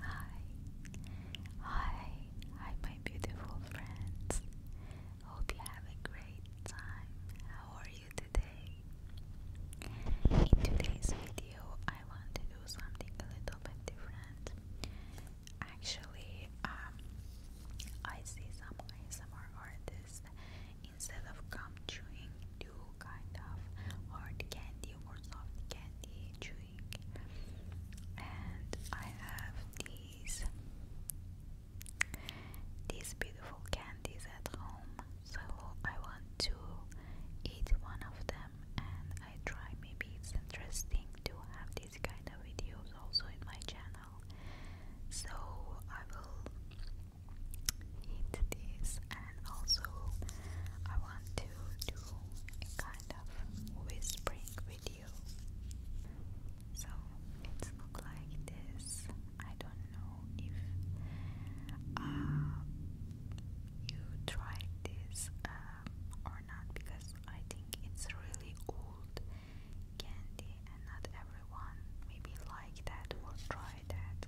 Hi, hi, hi, my beautiful friends. Hope you have a great time. How are you today? In today's video, I want to do something a little bit different. Actually, um, I see some ASMR artists instead of gum chewing, do kind of hard candy or soft candy, chew using. And I have these these beautiful candies at home, so I want to eat one of them and I try maybe it's interesting to have these kind of videos also in my channel. So I will eat this also I want to do a kind of whispering video. So it's look like this. I don't know if uh, you tried this um, or not because I think it's really old candy and not everyone maybe like that or try that.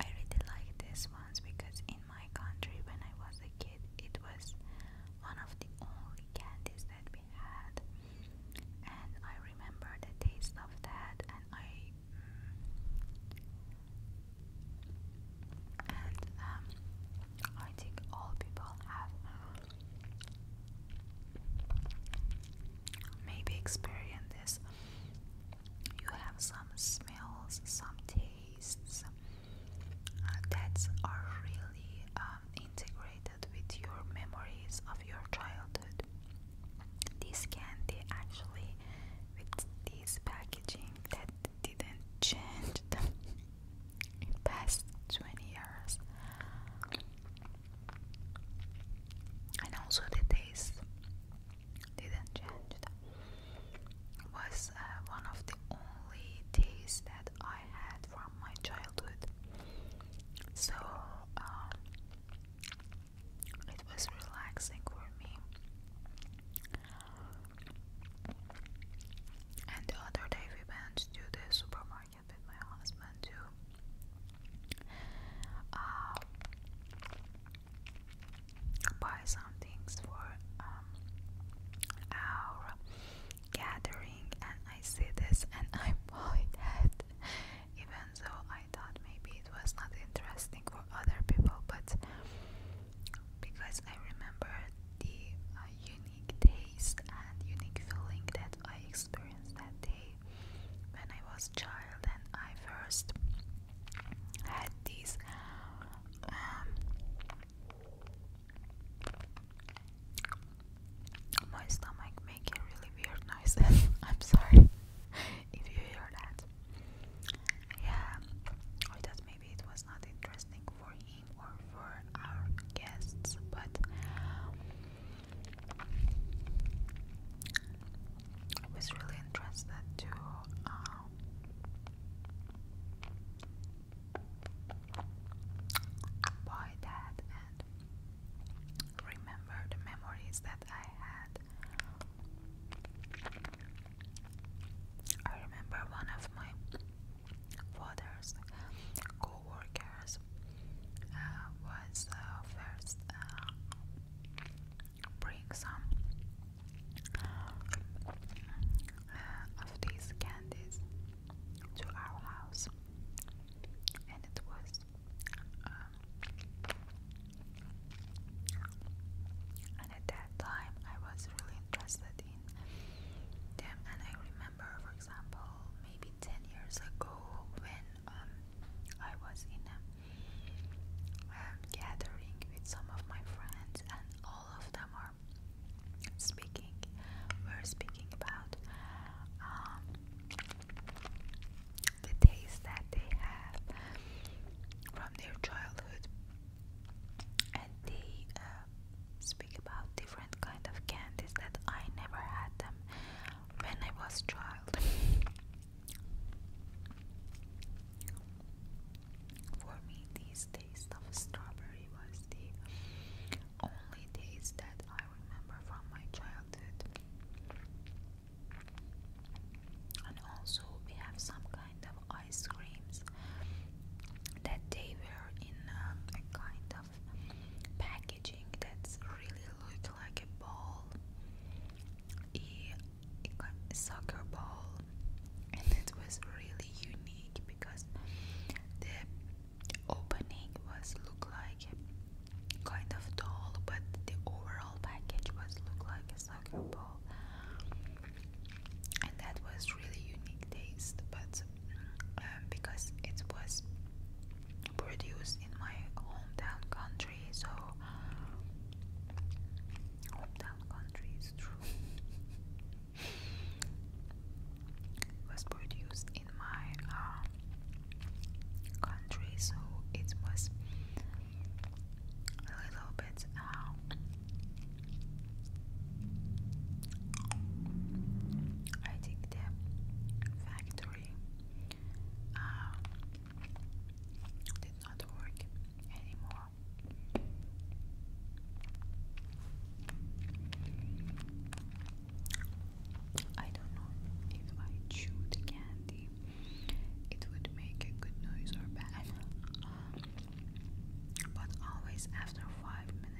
I really like this ones because in my country when I was a kid, it was one of the only candies that we had, and I remember the taste of that, and I mm, and um, I think all people have maybe experienced this you have some smells, some tastes uh, that are really um, integrated with your memories of your childhood. This candy actually, with this packaging that didn't change the in past 20 years, and also the taste didn't change. It was uh, one of the only teas that I had from my childhood. So um, it was relaxing for me. And the other day we went to the supermarket with my husband too. Uh, buy some things for um, our gathering, and I see this and I bought it, even though I thought maybe it was not interesting for other people, but because I remember the uh, unique taste and unique feeling that I experienced that day when I was child and I first had these um, my stomach making really weird noises. I'm sorry if you hear that. Yeah, I thought maybe it was not interesting for him or for our guests, but I was really interested to um, that and remember the memories that I had. I remember one of my father's co uh, was uh, first bring some uh, of these candies to our house, and it was um, and at that time I was really interested in them, and I remember, for example, maybe ten years ago when um, I was in a um, gathering with some of my friends, and all of them are speaking. we speaking about um, the taste that they have from their childhood, and they uh, speak about different kind of candies that I never had them when I was child. For me, these taste of strawberry was the only taste that I remember from my childhood. And also, we have some kind of ice creams that they were in uh, a kind packaging that's really look like a ball, a, soccer ball, and it was really unique because the opening was look like kind of tall, but the overall package was look like a soccer ball, and that was really unique taste. But um, because it was produced in my hometown country. So hometown country is true. it was produced in my um, country, so it was a little bit. Um, I think the factor battery um, did not work anymore. I don't know if I chewed candy, it would make a good noise or bad. but always after five minutes.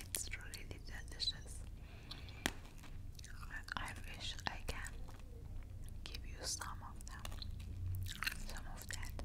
It's really delicious. I wish I can give you some of them, some of that.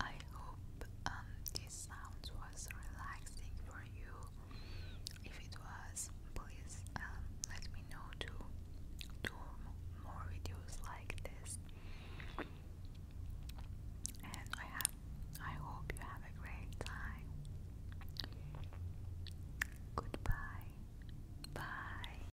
I hope um, this sound was relaxing for you. If it was, please um, let me know to do more videos like this. And I have, I hope you have a great time. Goodbye. Bye.